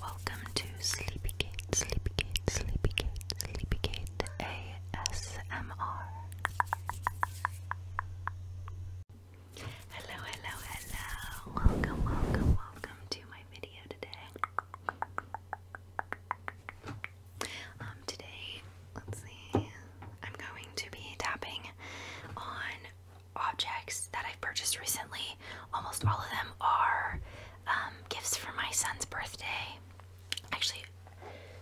Welcome to Sleepygate, Sleepygate, Sleepygate, Sleepygate ASMR. Hello, hello, hello. Welcome, welcome, welcome to my video today. Um, today, let's see, I'm going to be tapping on objects that I've purchased recently Almost all of them are um, gifts for my son's birthday. Actually,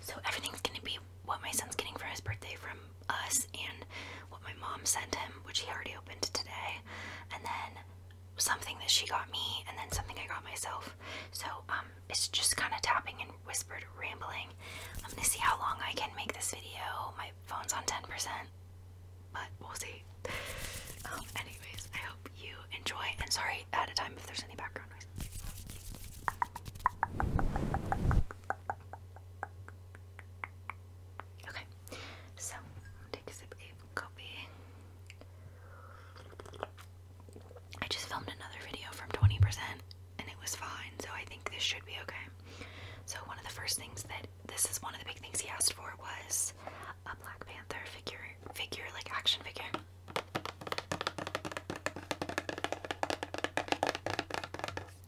so everything's gonna be what my son's getting for his birthday from us and what my mom sent him, which he already opened today, and then something that she got me, and then something I got myself. So um, it's just kind of tapping and whispered rambling. I'm gonna see how long I can make this video. My phone's on 10% but we'll see. Um, anyways, I hope you enjoy, and sorry at a time if there's any background noise. Okay, so take a sip of I just filmed another video from 20% and it was fine, so I think this should be okay. So, one of the first things that this is one of the big things he asked for was a Black Panther figure figure like action figure.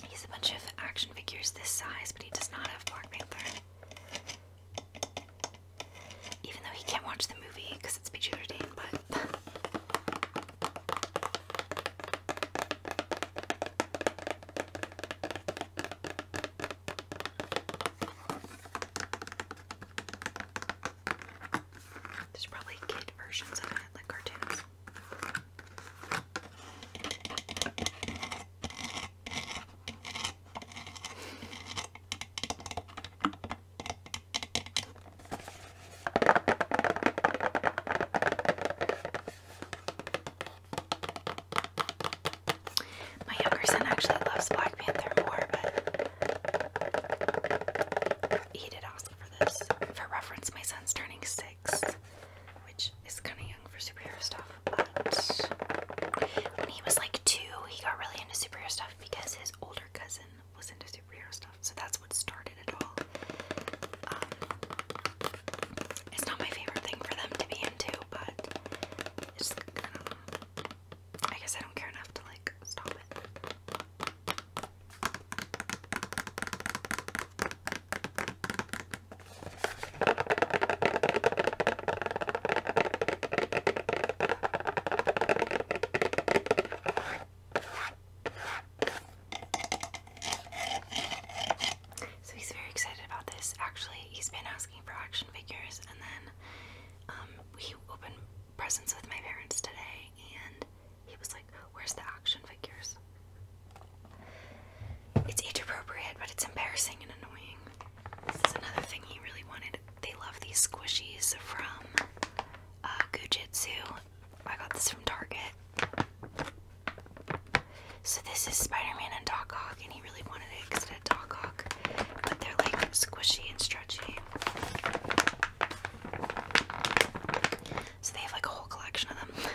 He's a bunch of action figures this size, but he does not have Black Panther. Even though he can't watch the movie because it's PG 13, but there's probably kid versions of it, like cartoons. My younger son actually loves Black Panther more, but he did ask for this. For reference, my son's turning six, which is kind of young for superhero stuff, but when he was like two, he got really into superhero stuff because his older cousin was into superhero stuff, so that's what started it all. Um, it's not my favorite thing for them to be into, but I guess I don't care enough to like stop it. So he's very excited about this. Actually, he's been asking for action figures, and then we um, opened presents with my parents today, and he was like, Where's the action figures? It's age appropriate, but it's embarrassing and annoying. This is another thing he really wanted. They love these squishies from uh, Gujitsu. I got this from Target. So this is Spider-Man and Doc Ock, and he really wanted it because it had Doc Ock, but they're like squishy and stretchy. So they have like a whole collection of them.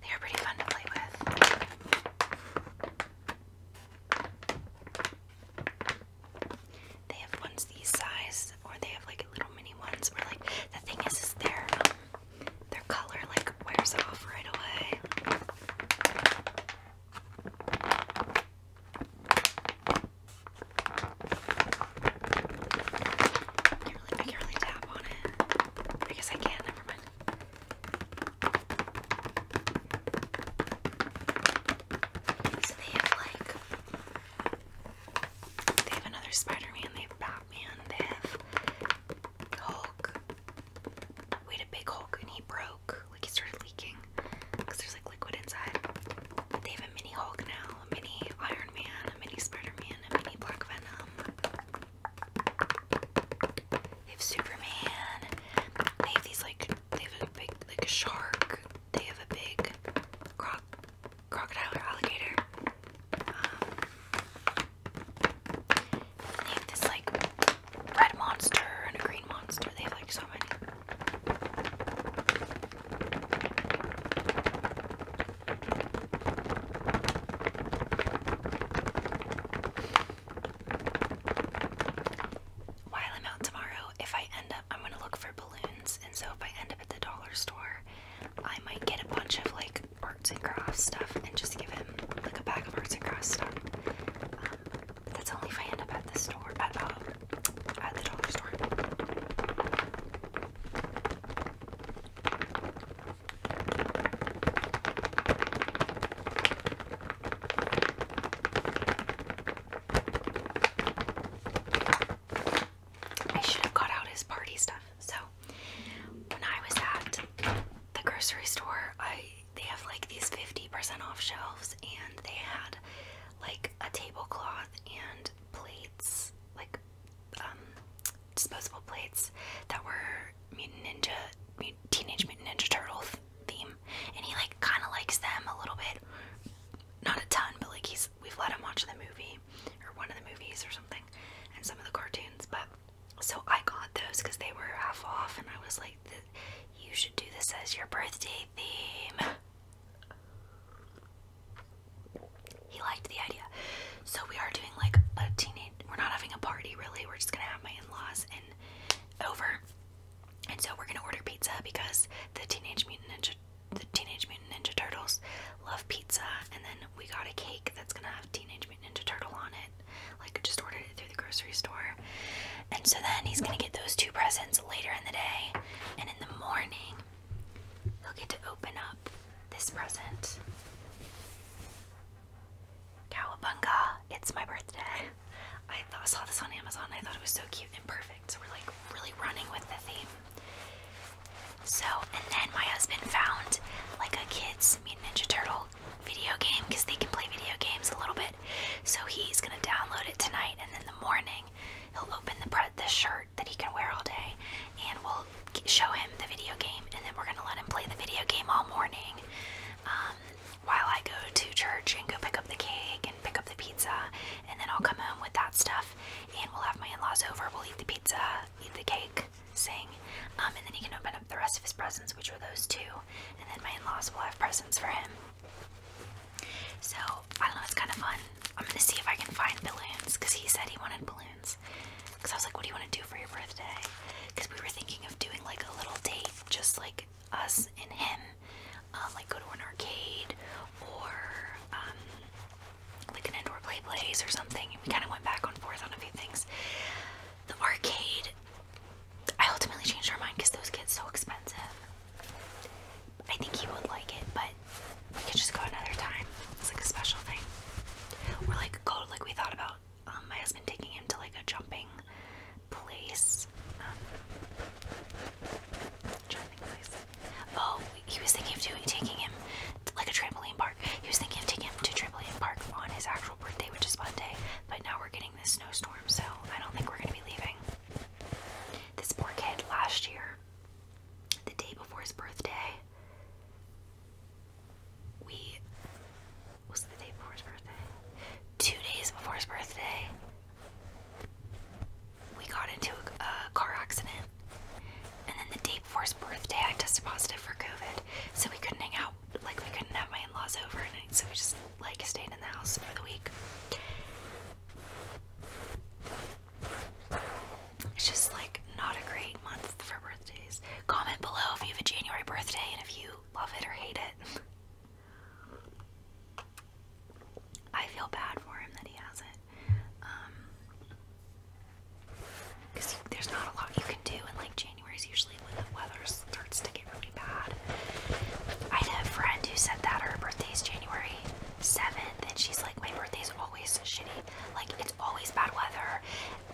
They are pretty fun to play with. They have ones these size, or they have like little mini ones where like the thing is, is their um, their color like wears off right away. I can't really, I can't really tap on it. I guess I can. Never mind. So they have like they have another Spider-Man, they have Batman, they have Hulk. We a big Hulk and he broke, like he started leaking because there's like liquid inside. They have a mini Hulk now, a mini Iron Man, a mini Spider-Man, a mini Black Venom. They have Superman. They have these like they have a big like a shark. They have a big croc crocodile or alligator. Um, they have this like red monster and a green monster. They have like so many. While I'm out tomorrow, if I end up, I'm gonna look for balloons, and so if I end up at the dollar store, I might get a bunch of like arts and crafts stuff and just give him like a bag of arts and crafts stuff. Um, that's only if I end up at the store, at, uh, at the dollar store. I should have got out his party stuff. So when I was at the grocery store, I they have like these 50% off shelves and they had like a tablecloth and plates, like um disposable plates that were Mutant Ninja Teenage Mutant Ninja turtles theme and he like kind of likes them a little bit. Not a ton, but like he's we've let him watch the movie or one of the movies or something, and some of the cartoons. But so I got those because they were half off, and I was like, "You should do this as your birthday theme." He liked the idea, so we are doing like a teenage. We're not having a party really. We're just gonna have my in-laws and over and so we're gonna order pizza because the Teenage Mutant Ninja the Teenage Mutant Ninja Turtles love pizza and then we got a cake that's gonna have Teenage Mutant Ninja Turtle on it. Like I just ordered it through the grocery store. And so then he's gonna get those two presents later in the day and in the morning he'll get to open up this present. Cowabunga, it's my birthday. I saw this on Amazon I thought it was so cute and perfect. So we're like really running with the theme. So, and then my husband found like a kids mean Ninja Turtle video game because they can play video games a little bit. So he's gonna download it tonight, and then the morning he'll open the the shirt that he can wear all day, and we'll show him the video game, and then we're gonna let him play the video game all morning. Um, while I go to church and go pick up the cake and pick up the pizza, and then I'll come home with that stuff, and we'll have my in-laws over. We'll eat the pizza, eat the cake, sing, um, and then he can open up the rest of his presents, which were those two, and then my in-laws will have presents for him. So I don't know. It's kind of fun. I'm gonna see if I can find balloons because he said he wanted balloons. Because I was like, what do you want to do for your birthday? Because we were thinking of doing like a little date, just like us and him, um, like go to an arcade or um, like an indoor play place or something. we kind of went back and forth on a few things. The arcade, I ultimately changed our mind because those kids so expensive. I think he would like it, but we could just go another time. It's like a special thing. We're like go like we thought about um, my husband taking him to like a jumping place um, oh, he was thinking of doing taking him like a trampoline park. He was thinking of taking him to trampoline park on his actual birthday, which is Monday. But now we're getting this snowstorm, so I don't think we're gonna be leaving. This poor kid last year, the day before his birthday, we was the day before his birthday? Two days before his birthday, we got into a, car accident. And then the day before his birthday, I tested positive for COVID, so we couldn't hang out. Like, we couldn't have my in laws over, and so we just, like, stayed in the house for the week. It's just, like, not a great month for birthdays. Comment below if you have a January birthday and if you love it or hate it. I feel bad for him that he has it. Because um, there's not a lot you can do, and like January is usually when the weather starts to get really bad. I had a friend who said that her birthday's January 7th, and she's like, My birthday's always shitty. Like, it's always bad weather.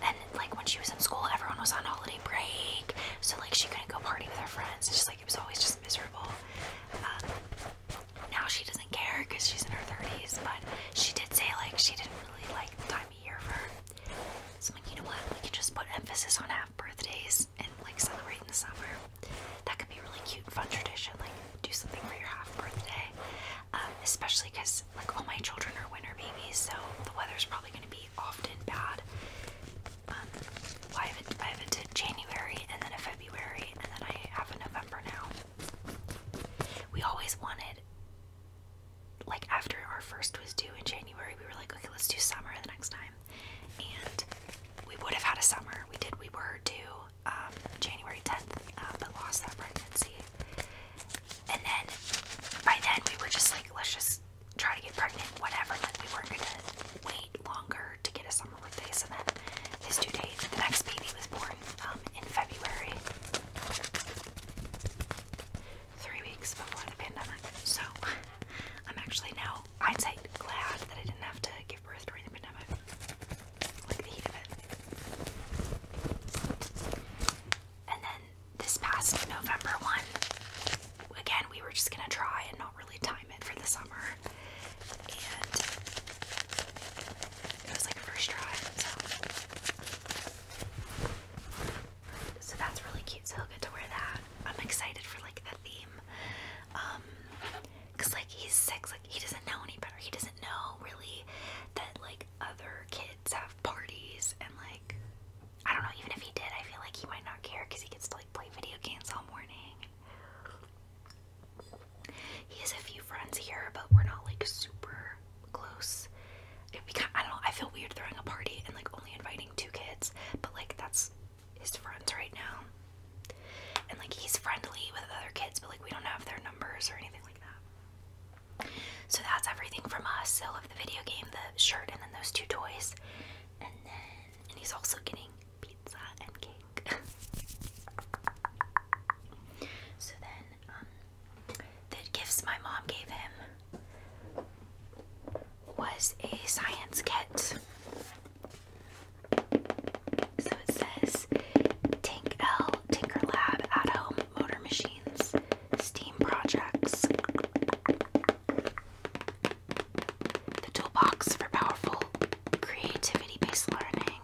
And like when she was in school, everyone was on holiday break, so like she couldn't go party with her friends. It's just like it was always just miserable. Um, now she doesn't care because she's in her thirties, but she did say like she didn't really like the time of year for her. So like, you know what? We can just put emphasis on half birthdays and like celebrate in the summer. That could be really cute, fun tradition. Like do something for your half birthday, um, especially because like all my children are winter babies, so the weather's probably going to be often bad. Um, well, I have, a, I have January and then a February and then I have a November now. We always wanted, like after our first was due in January, we were like, okay, let's do summer the next time. And we would have had a summer. We did. We were due um, January 10th, uh, but lost that pregnancy. And then by then we were just like, let's just try to get pregnant, whatever. Like we weren't gonna wait longer to get a summer birthday. and then his due date, the next baby was born um, in February, three weeks before the pandemic. So I'm actually now I'd say glad that I didn't have to give birth during the pandemic, like the heat of it. And then this past November one, again, we were just gonna try and not really time it for the summer. And it was like a first try, so. that's really cute, so he'll get to wear that. I'm excited for like the theme. Um, cause like he's six, like he doesn't know any better. He doesn't know really that like other kids have parties and like I don't know, even if he did, I feel like he might not care because he gets to like play video games all morning. He has a few friends here, but we're not like super close. I don't know, I feel weird throwing a party and like only inviting two kids, but like that's his friends right now. And like he's friendly with other kids, but like we don't have their numbers or anything like that. So that's everything from us. So of the video game, the shirt, and then those two toys and then he's also getting pizza and cake. so then um, the gifts my mom gave him was a science kit. So it says Tank L, Tinker Lab, At Home, Motor Machines, Steam Projects, the toolbox for powerful creativity based learning.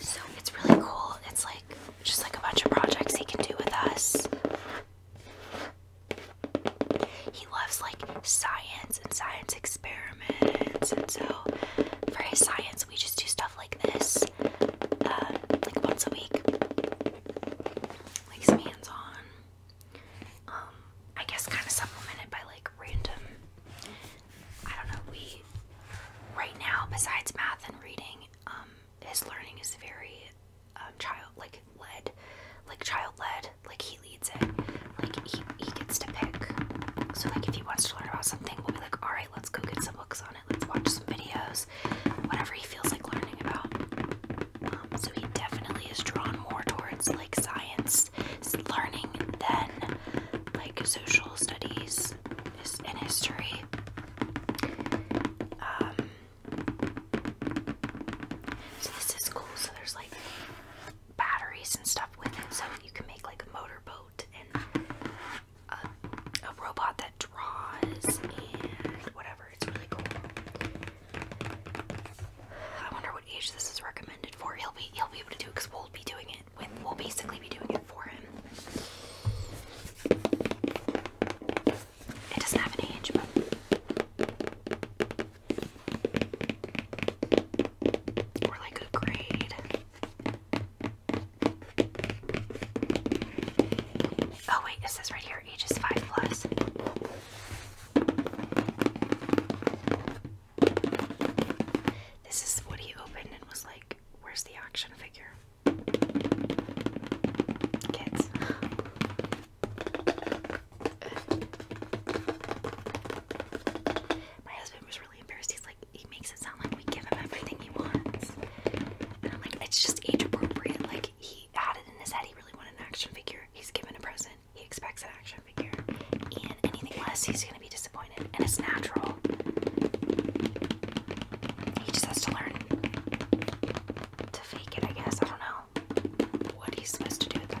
So it's really cool. It's like just like a bunch of projects he can do with us. He loves like science and science experiments, and so for his science, we just do stuff like this, uh, like once a week. Like some hands on um, I guess kind of supplemented by like random, I don't know, we, right now, besides math and reading, um, his learning is very, um, child, like, led, like, child-led, like, he leads it, like, he, he gets to pick, so, like, if he wants to learn about something, we'll be like, alright, let's go get some books on it, let's watch some videos, whatever he feels like learning about. Um, so he definitely is drawn more towards like science learning than like social studies and history. Um, so this is cool. So there's like batteries and stuff with it, so you can make like a motor boat and a robot that draws and whatever. It's really cool. I wonder what age this is recommended for. He'll be he'll be able to do because we'll be doing it we'll basically be doing it for him. It doesn't have an age, but like a grade. Oh wait, is this right here? their ages 5 plus. This is what he opened and was like, where's the action figure? Kids. My husband was really embarrassed. He's like, he makes it sound like we give him everything he wants. like, it's just age appropriate. Like, he he had it in his head he really wanted an action figure. He's given a present. He expects an action figure. And anything less, he's going to be disappointed. And it's natural. He just has to learn to fake it, I guess. I don't know what he's supposed to do at that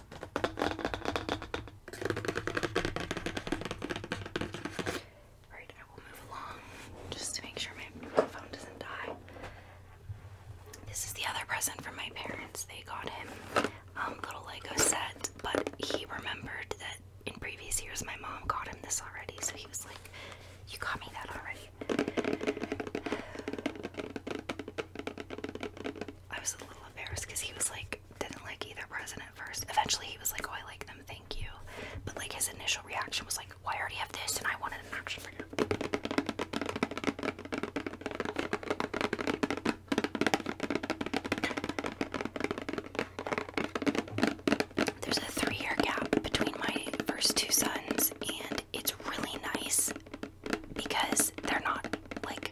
Alright, I will move along just to make sure my phone doesn't die. This is the other present from my parents. They got him um little Lego set, but he remembered that in previous years my mom got him this already, so he was like, You got me that already. I was a little embarrassed because he was like, didn't like either president first. Eventually, he was like, oh, I like them, thank you. But like his initial reaction was like, well, I already have this, and I wanted an action figure. There's a three year gap between my first two sons, and it's really nice because they're not like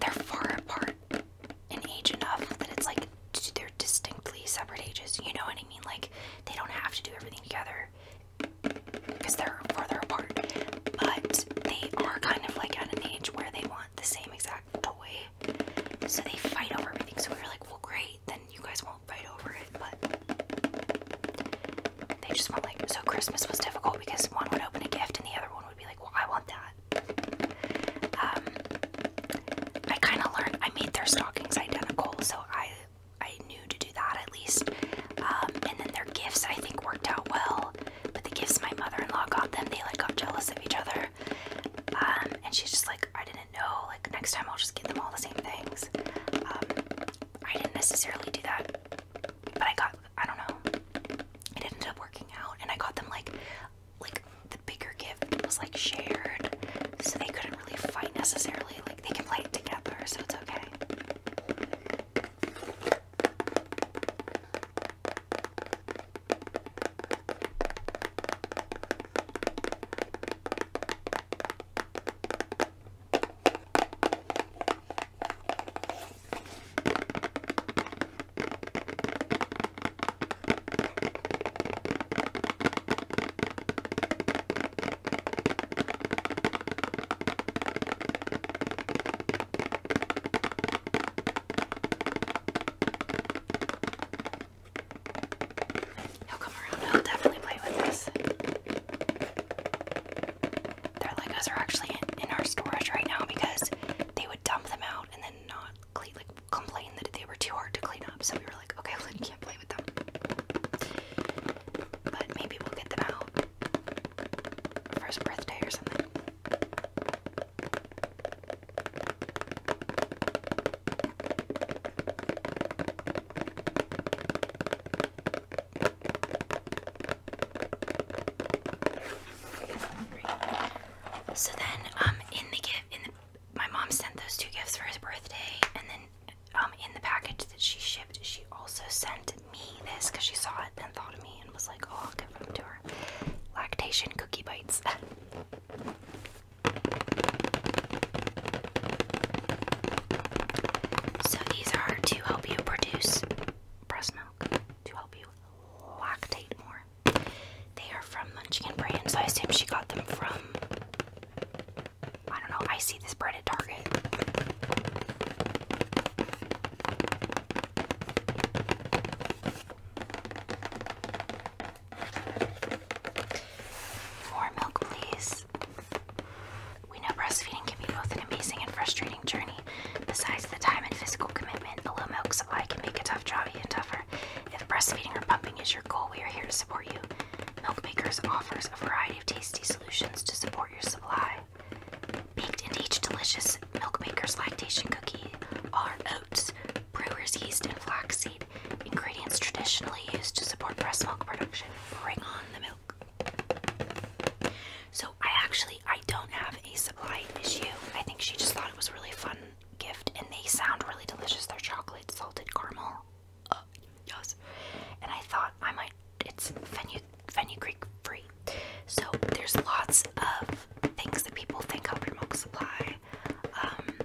they're far apart in age enough that it's like they're distinctly separate ages. You know what I mean? Like they don't have to do everything together because they're further apart, but they are kind of like at an age where they want the same exact toy, so they fight over everything. So we are like, well, great, then you guys won't fight over it, but they just want like so Christmas was difficult because one would open a gift and the other one would be like, well, I want that. Um, I kind of learned I made their stockings identical, so I I knew to do that at least. Um, and then their gifts I think worked out well, but the gifts my mother-in-law got them, they like got jealous of each other. Um, and she's just like, I didn't know. Like next time I'll just get them all the same things. I didn't necessarily do that, but I got I don't know. It ended up working out, and I got them like, like the bigger gift was like shared, so they couldn't really fight necessarily. Like they can play together, so it's okay. He'll come around. He'll definitely play with this their Legos are actually in, our storage right now because they would dump them out and then not clean, like complain that they were too hard to clean up. So we were like, okay, well you can't play with them. But maybe we'll get them out for his birthday or something. So then, um, in the gift, in the, my mom sent those two gifts for his birthday, and then, um, in the package that she shipped, she also sent me this because she saw it and thought of me and was like, "Oh, I'll give them to her." Lactation cookie bites. so these are to help you produce breast milk to help you lactate more. They are from Munchkin brand, so I assume she got them from. I don't know. I see this bread at Target. More milk, please. We know breastfeeding can be both an amazing and frustrating journey. Besides the time and physical commitment, a low milk supply can make a tough job even tougher. If breastfeeding or pumping is your goal, we are here to support you. Milk Bakers offers a variety of tasty solutions to support your supply. Baked into each delicious Milk Bakers lactation cookie are oats, brewer's yeast, and flaxseed, ingredients traditionally used to support breast milk production. Bring on the milk. So I actually I don't have a supply issue. I think she just thought it was a really fun gift, and they sound really delicious. They're chocolate salted caramel. Uh, yes. And I thought I might. It's Fenny Fenny Creek free. So there's lots of things that people think help your milk supply. Um,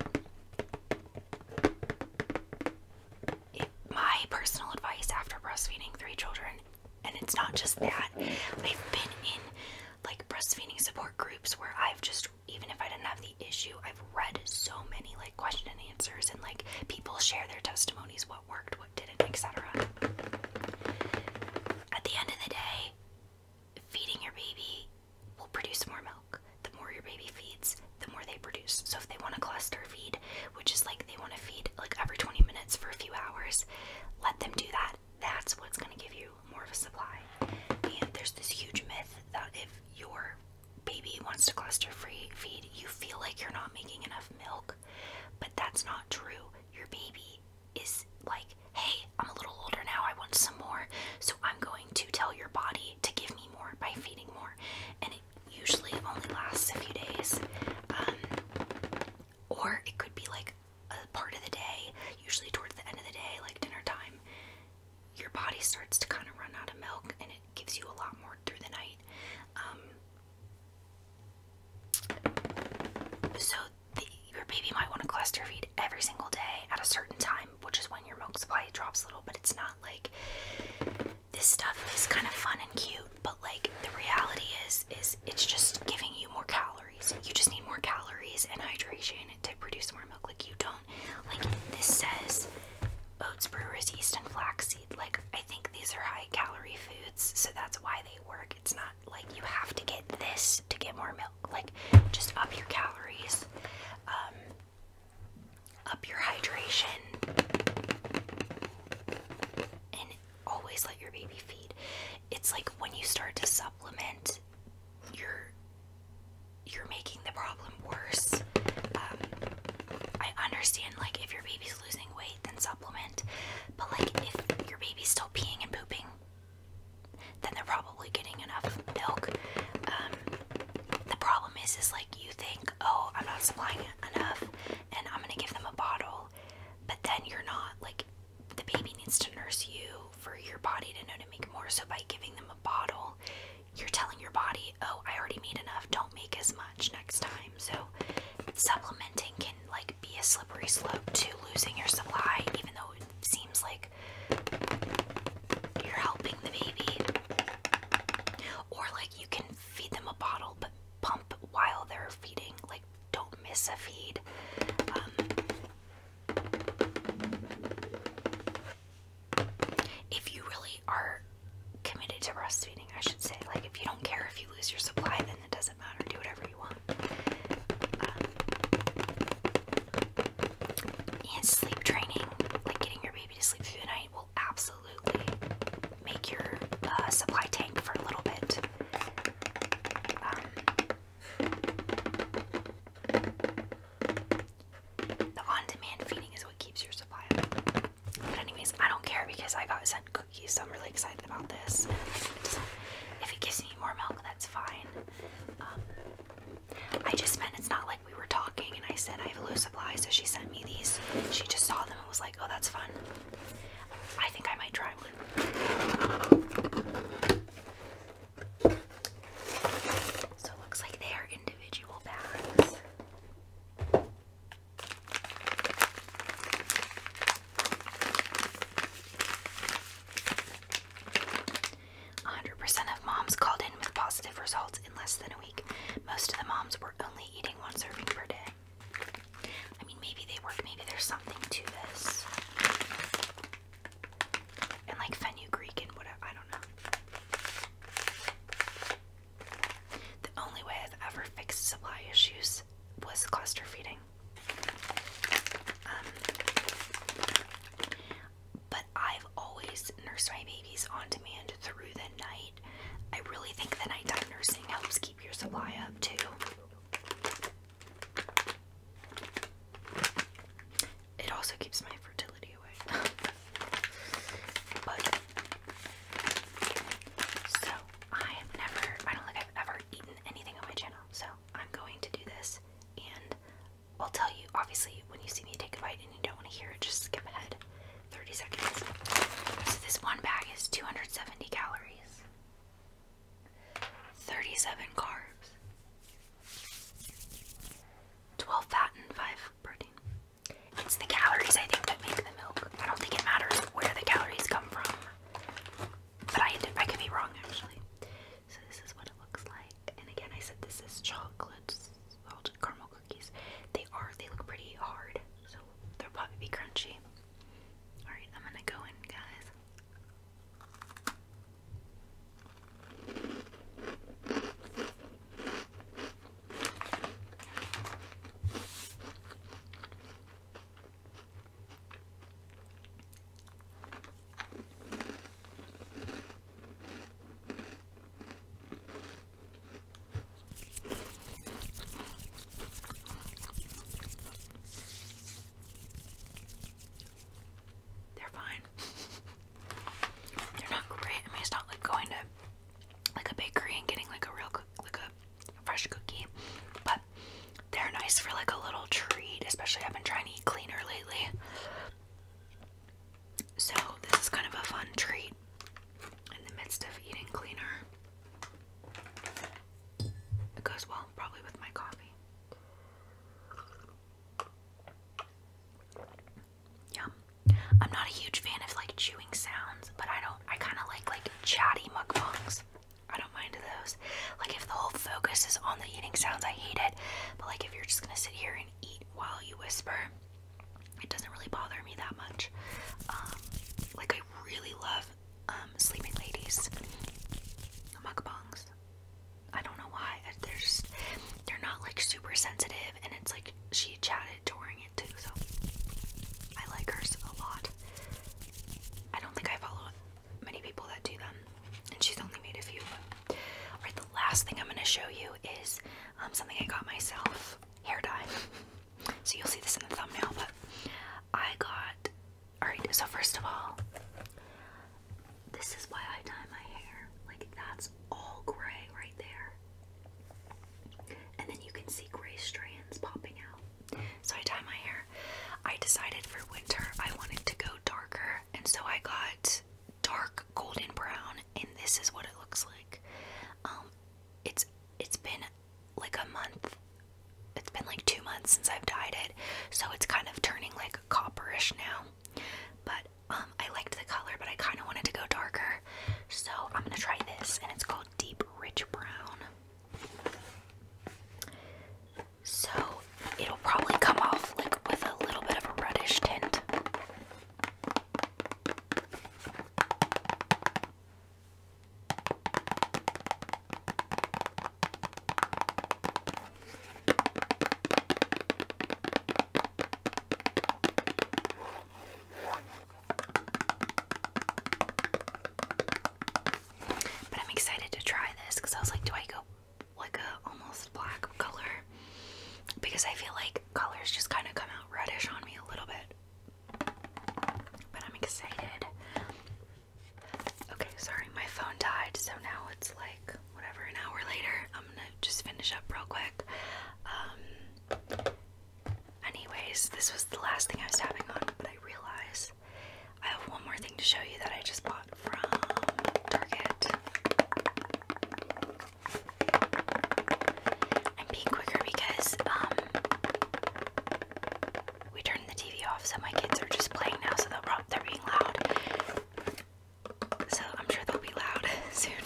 my personal advice after breastfeeding three children and it's not just that. I've been in like breastfeeding support groups where I've just even if I didn't have the issue, I've read so many like question and answers and like people share their testimonies, what worked, what didn't, etc. At the end of the day, feeding your baby will produce more milk. The more your baby feeds, the more they produce. So if they want to cluster feed, which is like they want to feed like every 20 minutes for a few hours. Let them do that. That's what's going to give you more of a supply. And there's this huge myth that if your baby wants to cluster free feed, you feel like you're not making enough milk. But that's not true. Your baby is like, hey, I'm a little older now, I want some more. So I'm going to tell your body to give me more by feeding more. And it usually only lasts a few days. Um, or it could be like a part of the day, usually towards the end of the day, like dinner time. Your body starts to kind of run out of milk and it gives you a lot more through the night. Um, so, your baby might want to cluster feed every single day at a certain time, which is when your milk supply drops a little, but it's not like this stuff is kind of fun and cute but like the reality is is it's just giving you more calories you just need more calories and hydration to produce more milk like you don't like this says oats brewer's yeast and flaxseed like i think these are high calorie foods so that's why they work it's not like you have to get this to get more milk like just up your calories um, up your hydration always let your baby feed. It's like when you start to supplement, you're you're making the problem worse. Um, I understand like if your baby's losing weight, then supplement. But like if your baby's still peeing and pooping, then they're probably getting enough milk. Um, the problem is, is like you think, oh, I'm not supplying enough, and I'm gonna give them a bottle but then you're not like the baby needs to nurse you for your body to know to make more. So by giving them a bottle, you're telling your body, "Oh, I already made enough. Don't make as much next time." So supplementing can like be a slippery slope to losing your supply, even though it seems like you're helping the baby. Or like you can feed them a bottle, but pump while they're feeding. Like don't miss a feed. Um, if you really are committed to breastfeeding, I should say, like if you don't care if you lose your supply, then it doesn't matter. Do whatever you want. Um, and sleep training, like getting your baby to sleep through the night, will absolutely absolutely make your uh, supply tank for a little bit. Um, the on-demand feeding is what keeps your supply up. But anyways, I don't care because I got sent cookies, I'm really excited about this. if it gives me more milk, that's fine. Um, I just meant it's not like we were talking and I said I have a low supply, so she sent me these. She just saw them and was like, oh, that's fun. I think I might try one. So it looks like they are individual bags. Hundred percent of moms called in with positive results in less than a week. Most of the moms were only eating one serving per day. I mean, maybe they work, maybe there's something to this. And like fenugreek and whatever, I don't know. The only way I've ever fixed supply issues was cluster feeding. Um, but I've always nursed my babies on demand through the night. I really think the nighttime nursing helps keep keep your supply up too. It also keeps my fertility away. So I'm going to do this and I'll tell you obviously when you see me take a bite and you don't want to hear it, just skip ahead 30 seconds. So this one bag is 270 calories. 37 carbs, 12 fat, and 5 protein. It's the calories, I think, that make the milk. I don't think it matters where the calories come from. But I, I could be wrong, actually. So this is what it looks like. And again, I said this is chocolate salted caramel cookies. They are, they look pretty hard. So they'll probably be crunchy. Alright, I'm gonna go in, guys. They're fine. They're not great. I mean, it's not like going to like a bakery and getting like a real like a fresh cookie, but they're nice for like a little treat. Especially I've been trying to eat cleaner lately, so this is kind of a fun treat in the midst of eating cleaner. It goes well, probably with my coffee. Yum. I'm not a huge fan of like chewing sounds, but I don't. I kind of like like chatty mukbangs. I don't mind those. Like if the whole focus is on the eating sounds, I hate it. But like if you're just gonna sit here and eat while you whisper, it doesn't really bother me that much. Um, like I really love um, sleeping Ladies mukbangs. I don't know why. Uh, they're they're not like super sensitive, and it's like she chatted during it too, so I like her a lot. I don't think I follow many people that do them, and she's only made a few. All right, the last thing I'm gonna show you is um, something I got myself hair dye so you'll see this in the thumbnail, but I got alright, so first of all, this is why I dye my hair. Like that's all gray right there. And then you can see gray strands popping out. So I dye my hair. I decided for winter I wanted to go darker, and so I got dark golden brown, and this is what it looks like. Um, it's it's been like a month. It's been like two months since I've dyed it, so it's kind of turning like copperish now. But um, I liked the color, but I kind of wanted to go darker, so I'm gonna try this, and it's called Deep Rich Brown. So it'll probably come off like with a little bit of a reddish tint. But I'm excited to try this because I was like, do I go like a almost black color? Because I feel like colors just kind of come out reddish on me a little bit. But I'm excited. Okay, sorry, my phone died, so now it's like whatever, an hour later. I'm gonna just finish up real quick. Um, anyways, this was the last thing I was tapping on, but I realize I have one more thing to show you that I just bought from Target. I'm being quicker because um, we turned the TV off, so my kids are just playing now, so they'll probably, are being loud. So I'm sure they'll be loud soon.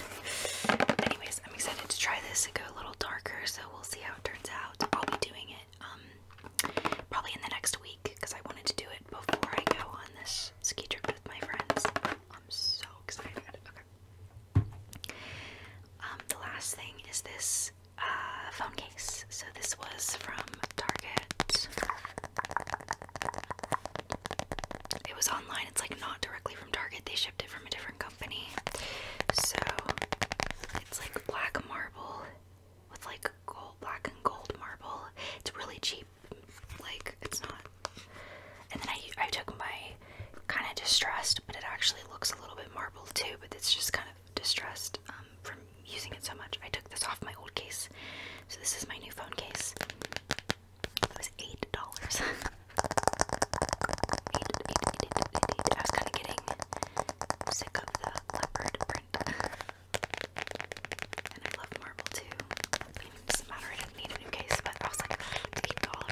Anyways, I'm excited to try this and go a little darker, so we'll see how it turns out. I'll be doing it um, probably in the next week because I wanted to do it before I go on this ski trip with my friends. I'm so excited. Okay. Um, the last thing is this uh, phone case. So this was from Target. It was online. It's like not directly from Target. They shipped it from a different company. So it's like black marble with like gold, black and gold marble. It's really cheap. Like it's not. And then I I took my kind of distressed, but it actually looks a little bit marbled too, but it's just kind of distressed um, from using it so much. I took this off my old case, so this is my new phone case. It was eight dollars. I was kind of getting sick of the leopard print, and I love marble too. doesn't matter. I didn't need a new case, but I was like, eight dollars.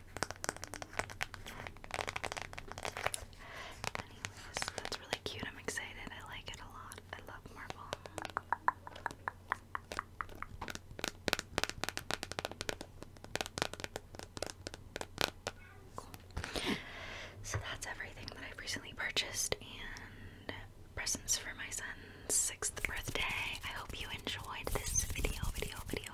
that's really cute. I'm excited. I like it a lot. I love marble. So that's everything that I've recently purchased and presents for my son's sixth birthday. I hope you enjoyed this video, video, video,